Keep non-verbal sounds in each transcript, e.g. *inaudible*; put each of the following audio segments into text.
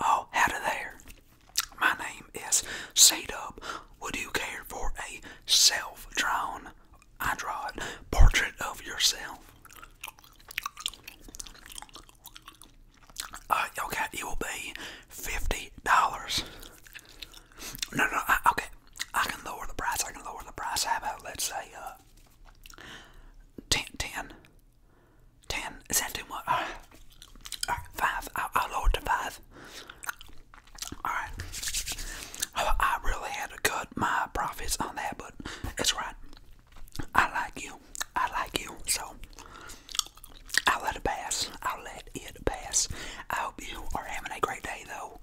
Oh, howdy there. My name is C-Dub. Would you care for a self-drawn, I draw it, portrait of yourself? Uh, okay, it will be $50. No, no, okay, I can lower the price, I can lower the price. How about, let's say, uh, 10, Ten. Is that too much? five. will to five. Alright. Oh, I, really had to cut my profits on that, but it's right. I like you. I like you. So, I'll let it pass. I'll let it pass. I hope you are having a great day, though,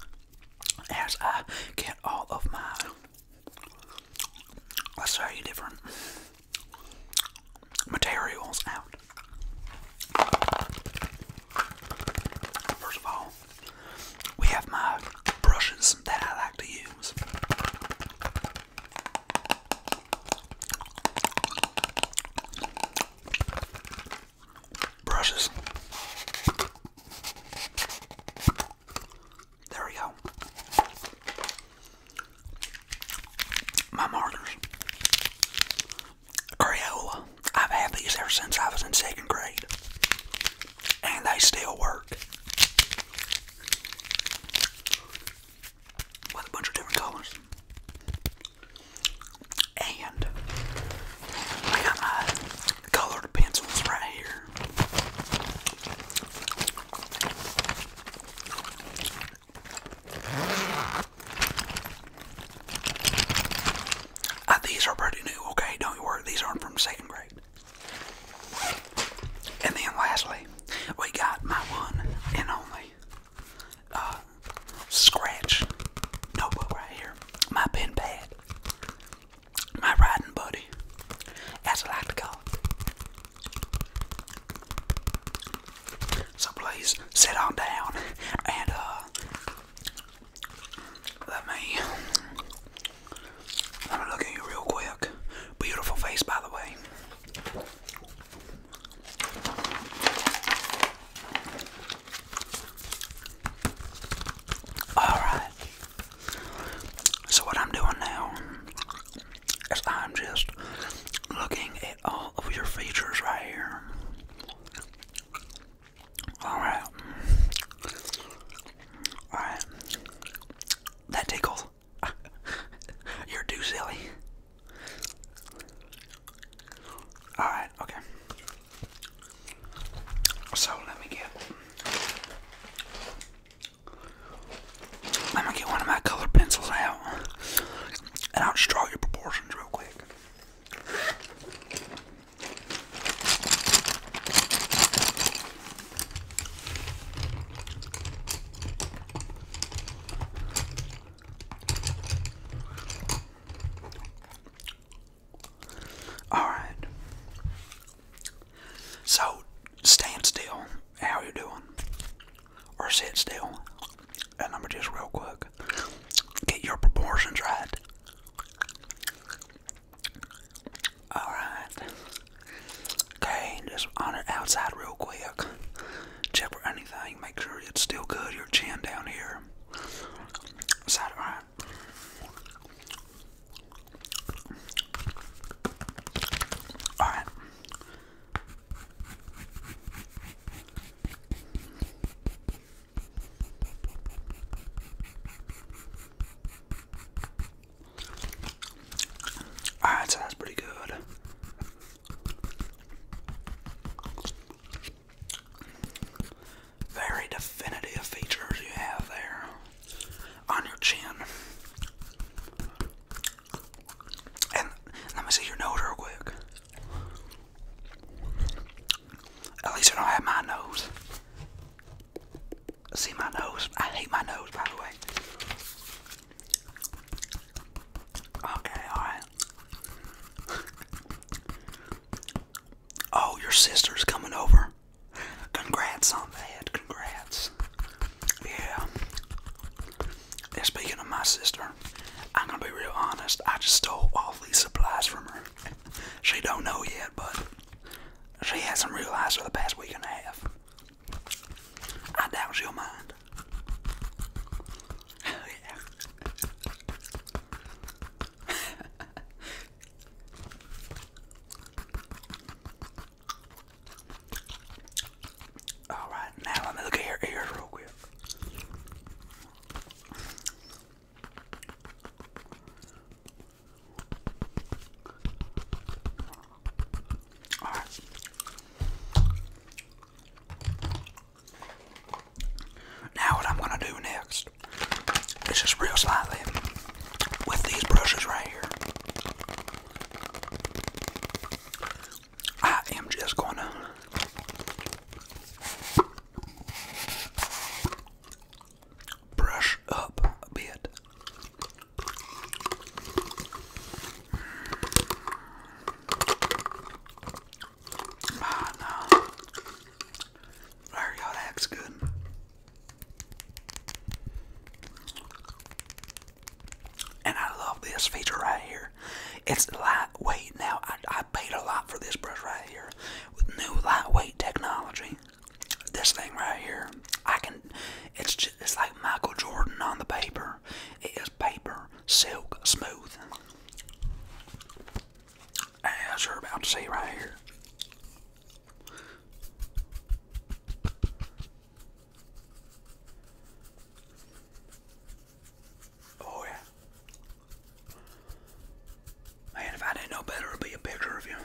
as I get all of my. Let's try different materials out. First of all, we have my brushes that I like to use. Brushes. There we go. My markers. Crayola. I've had these ever since I was in second grade. And they still work. With a bunch of different colors. And I got my colored pencils right here. Uh, these are pretty new, okay? Don't worry, these aren't from second grade. And then lastly, we got my one and only uh, scratch notebook right here. My pen pad. My riding buddy, as I like so please sit on down and uh let me let me look at you real quick. Beautiful face by the way. Alright. So what I'm doing now I'm just looking at all of your features right here. Alright. Alright. That tickles. *laughs* You're too silly. Alright, okay. So let me get I'm get one of my colored pencils out and I'll draw your proportions real quick. All right. So stand still how you doing? Or sit still. And I'm just real quick. Get your proportions right. Alright. Okay, just on it outside real quick. Check for anything. Make sure it's still good. Your chin down here. Side right. Alright. Ah, that sounds pretty good. Very definitive features you have there on your chin. And let me see your nose real quick. At least I don't have my nose. See my nose? I hate my nose, by the way. Okay, alright. oh, your sister's coming over. Congrats on that. Congrats. Yeah speaking of my sister, I'm gonna be real honest. I just stole all these supplies from her. She don't know yet, but she hasn't realized for the past week and a half. I doubt she'll mind. yeah. *laughs* All right, now let me look at your ears real quick. Now what I'm gonna do next is just real slightly with these brushes right here. I am just gonna brush up a bit. Ah, no. There you go, good. And I love this feature right here. It's lightweight. Now, I, paid a lot for this brush right here with new lightweight technology. This thing right here, I can, it's just, it's like Michael Jordan on the paper. It is paper, silk, smooth. As you're about to see right here. Oh yeah. Man, if I didn't know better, it'd be a picture of you.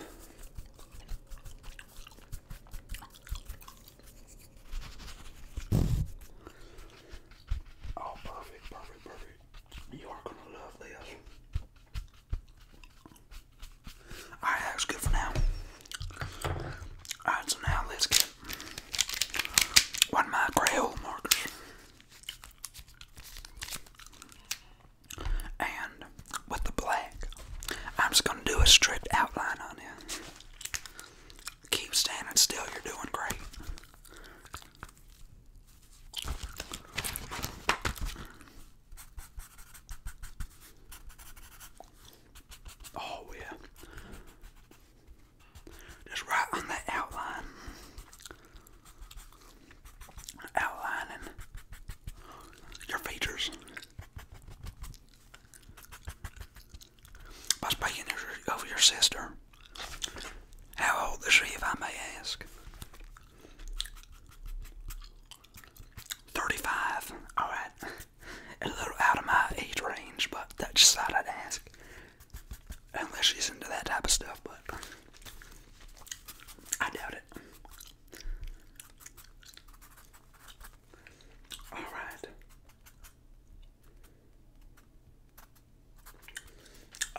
Oh, perfect, perfect, perfect. You are gonna love this. Alright, that's good for now. Alright, so now let's get one of my Crayola markers. And with the black, I'm just going to do a strict outline on it. Keep standing still, you're doing great. Oh yeah. Just right on that outline. Outlining your features. By speaking of your sister, how old is she, if I may ask? 35. Alright a little out of my age range, but that's just how I'd ask. Unless she's into that type of stuff, but I doubt it. All right.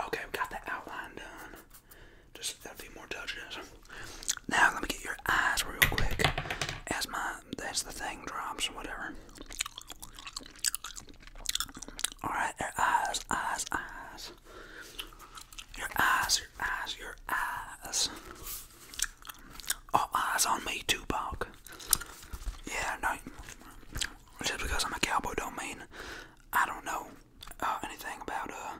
Okay, we got the outline done. Just a few more touches. Now let me get your your eyes real quick as my as the thing drops or whatever. Alright, eyes, eyes, eyes. Your eyes, your eyes, your eyes. All oh, eyes on me, Tupac. Yeah, no. Just because I'm a cowboy don't mean I don't know uh, anything about uh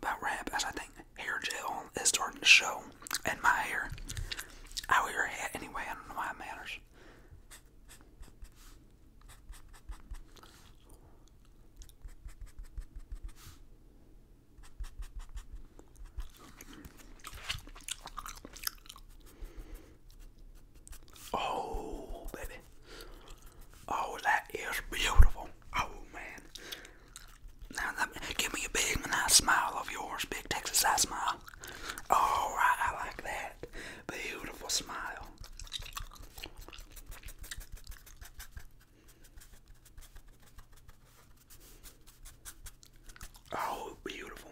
about rap as I think hair gel is starting to show and my hair. I wear a hat anyway, I don't know why it matters. Oh, baby. Oh, that is beautiful. Oh, man. Now, give me a big nice smile of yours, big Texas eye smile. All right, I like that. Beautiful smile. Oh, beautiful.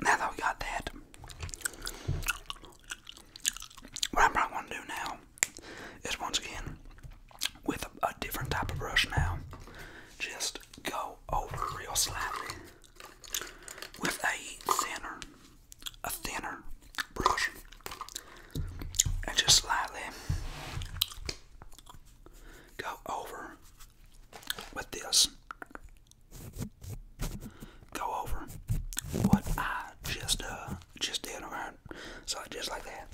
Now that we got that, what I'm probably going to do now is once again, with a, different type of brush now, just go over real slightly with a thinner, a thinner brush, and just slightly go over with this. Go over what I just uh just did around. So just like that.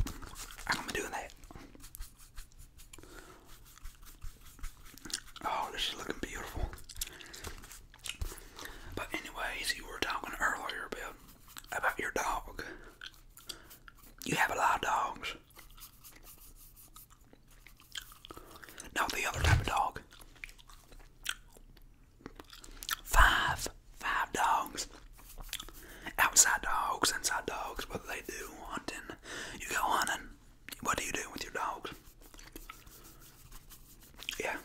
I'm gonna be doing that. Oh, this is looking beautiful. But anyways, you were talking earlier about about your dog. You have a lot of dogs. Now the other type of dog. Five. Five dogs. Outside dogs, inside dogs, what do they do? Hunting. You go hunting. What do you do with your dogs? Yeah.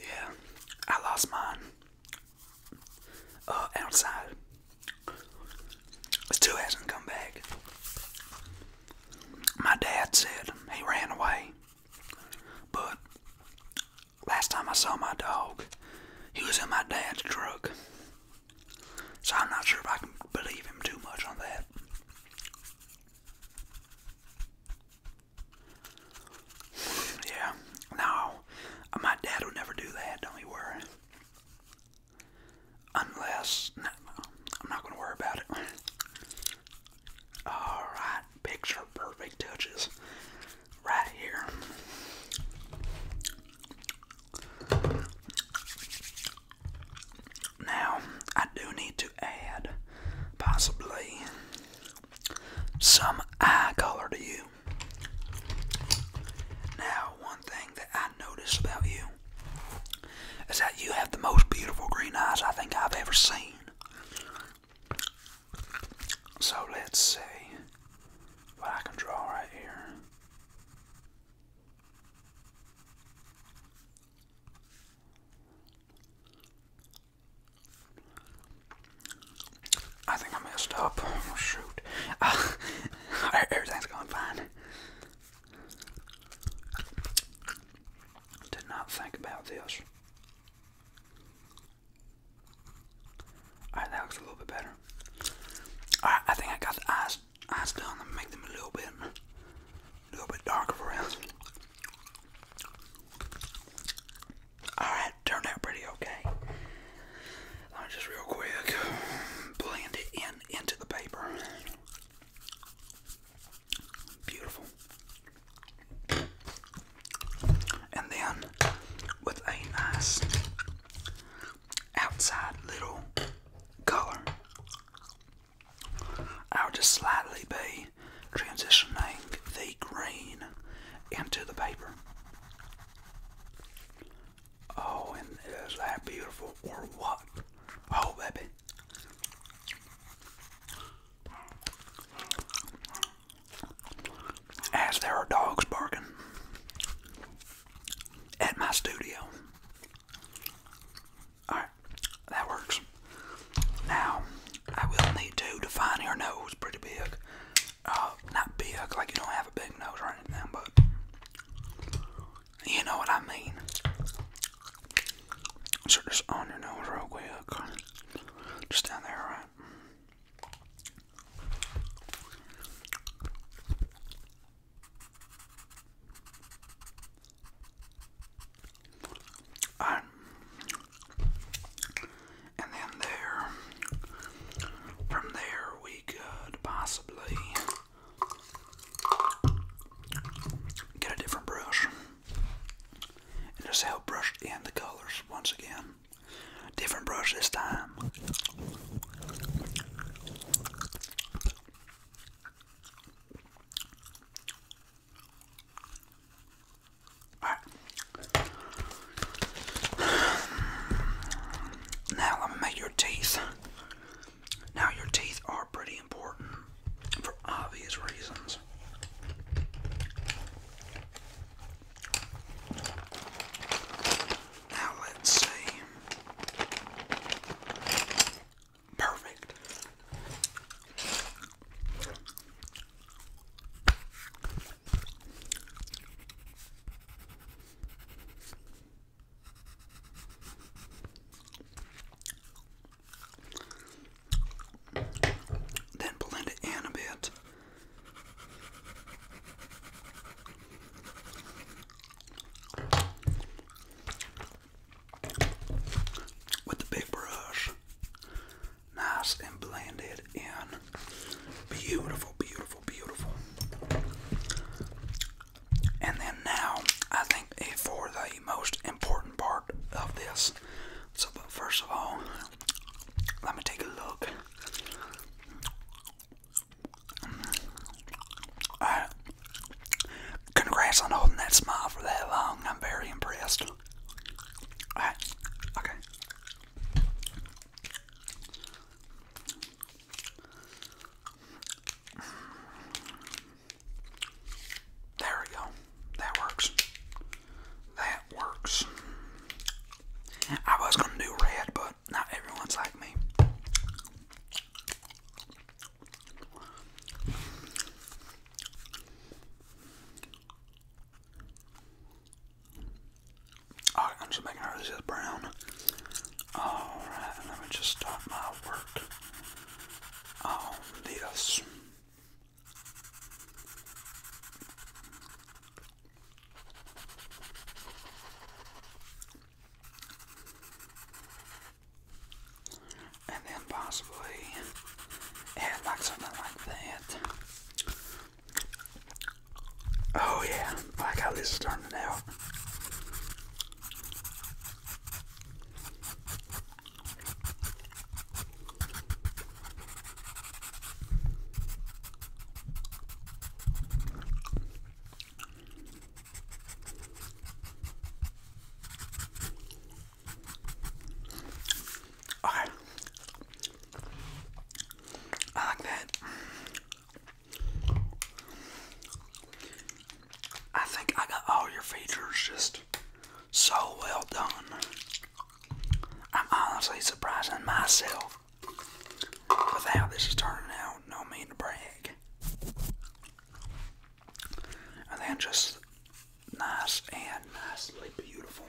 Yeah. I lost mine. Uh, outside. It still hasn't come back. My dad said he ran away, but last time I saw my dog, he was in my dad's truck. So I'm not sure if I can believe him too much on that. Yeah, no, my dad would never do that, don't you worry. Unless, I'm not going to worry about it. Alright, picture perfect touches right here. Now, I do need to add possibly some eye color to you. Now, one thing that I notice about you is that you have the most beautiful green eyes I think I've ever seen. So let's see what I can draw right here. I think I messed up. Oh, shoot. *laughs* everything's going fine. Did not think about this. Alright, that looks a little bit better. Alright, I think I got the eyes eyes done. make them a little bit a little bit darker for us. Alright, turned out pretty okay. just real quick blend it in into the paper. Beautiful. And then with a nice outside little color, I'll just slightly be transitioning the green into the paper. Oh, and is that beautiful or what? Oh, baby. As there are dogs barking at my studio. Alright, that works. Now, I will need to define your nose pretty big. Uh, not big, like you don't have a big nose or anything, but you know what I mean? So just on your nose real quick. Just down there, right? And then there, from there we could possibly Get a different brush and just help brush in the colors once again. Different brush this time. Now let me make your teeth now, your teeth are pretty important for obvious reasons. Now, let's see. Perfect. Then blend it in a bit. With the big brush, nice and blended in. Beautiful, beautiful, beautiful. And then now, I think eh, for the most important part of this. So, but first of all, let me take a look. Congrats on holding that smile for that long. I'm very impressed. Alright. Okay. There we go. That works. That works. I was gonna do red, but not everyone's like me. Alright, I'm just making sure this is brown. Alright, let me just start my work on this. And then possibly add like something like that. Oh yeah, like how this is turning out. Okay. I like that. I think I got all your features just so well done. I'm honestly surprising myself with how this is turning out. No mean to brag. And then just nice and nicely beautiful.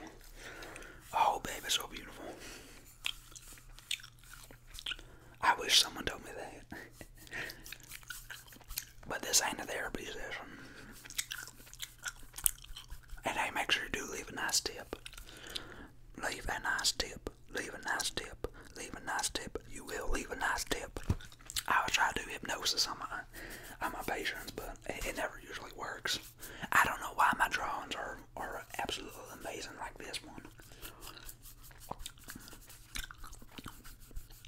Oh, baby, so beautiful. I wish someone told me that. *laughs* But this ain't a therapy session. And hey, make sure you do leave a nice tip. Leave a nice tip. Leave a nice tip. Leave a nice tip. You will leave a nice tip. I will try to do hypnosis on my on my patients, but it, it never usually works. I don't know why my drawings are are absolutely amazing like this one. Alright,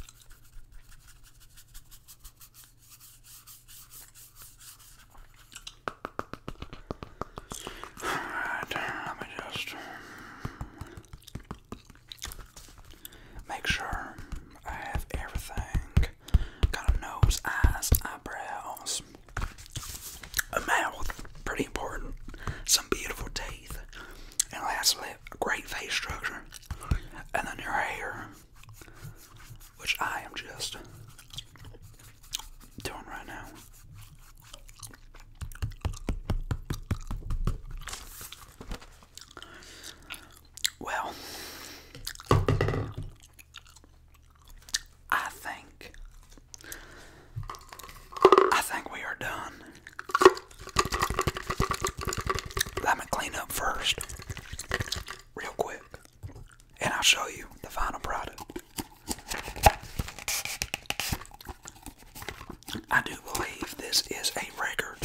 let me just make sure I have everything. Got a nose, eyes, eyebrows, a mouth, pretty important, some beautiful teeth, and lastly, a great face structure and then your hair, which I am just doing right now. Well, I think I think we are done. Let me clean up first, real quick, and I'll show you the final product. I do believe this is a record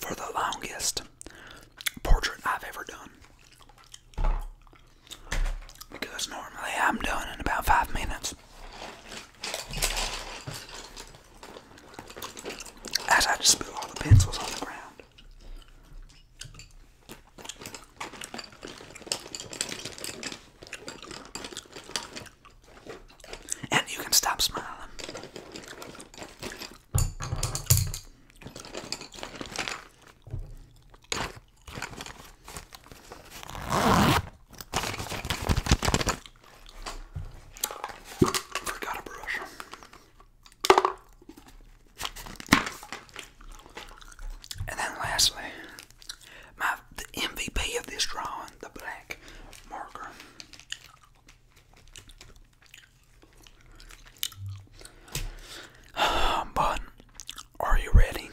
for the longest portrait I've ever done. Because normally I'm done in about five minutes. As I just spilled all the pencils on the ground. And you can stop smiling. Forgot a brush. And then lastly, my MVP of this drawing, the black marker. *sighs* But are you ready?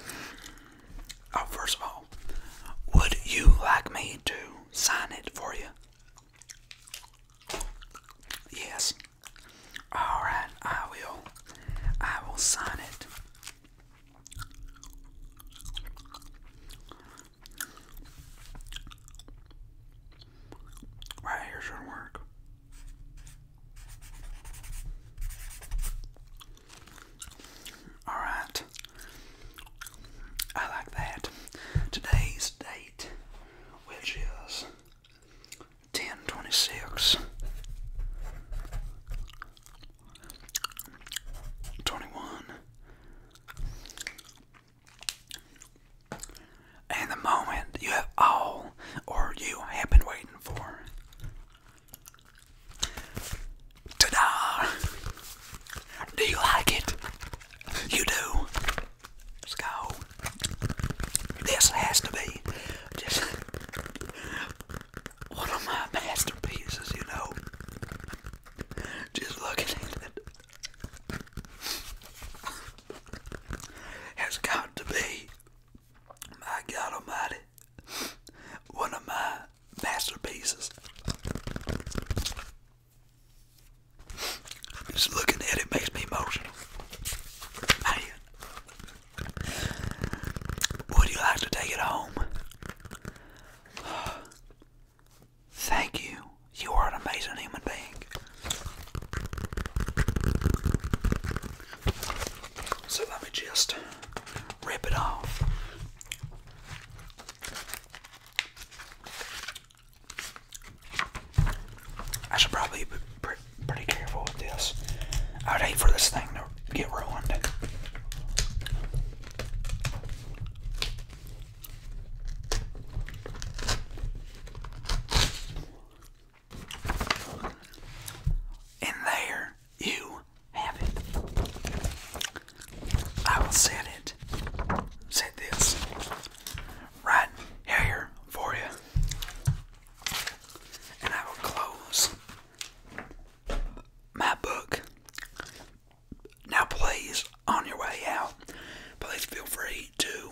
Oh, first of all, would you like me to sign it for you? Yes. All right, I will. I will sign it. Right here should work. All right. I like that. Today's date, which is 1026 And the moment you have all or you have been waiting for. ta Do you like it? You do. Let's go. This has to be just one of my masterpieces, you know. Just look at it has got to be, my God Almighty, one of my masterpieces. Just looking at it makes me emotional. Man, would you like to take it home? *sighs* Thank you. You are an amazing human being. So let me just rip it off. I should probably be pretty careful with this. I would hate for this thing to get ruined. And there you have it. I will send it, Send this right here for you, and I will close my book. Now, please, on your way out, please feel free to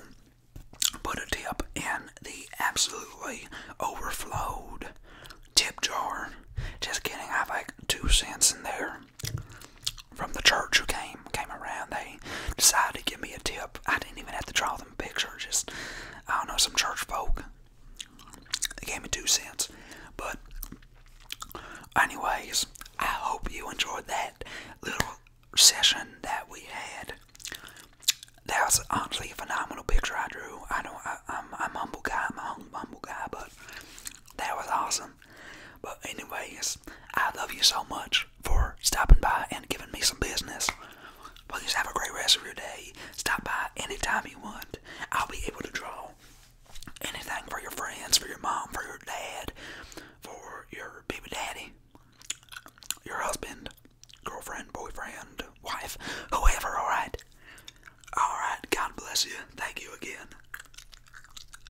put a tip in the absolutely overflowed tip jar. Just kidding, I've like two cents in there from the church who came came around. They decided to give me a tip. I didn't even have to draw them a picture. Just I don't know some church folk. They gave me two cents. But anyways, I hope you enjoyed that little session that we had. That was honestly a phenomenal picture I drew. I know I, am I'm humble guy. I'm a humble guy, but that was awesome. But anyways, I love you so much for stopping by and giving me some business. Please have a great rest of your day. Stop by anytime you want. I'll be able to draw anything for your friends, for your mom, for your dad, for your baby daddy, your husband, girlfriend, boyfriend, wife, whoever, alright? Alright, God bless you. Thank you again.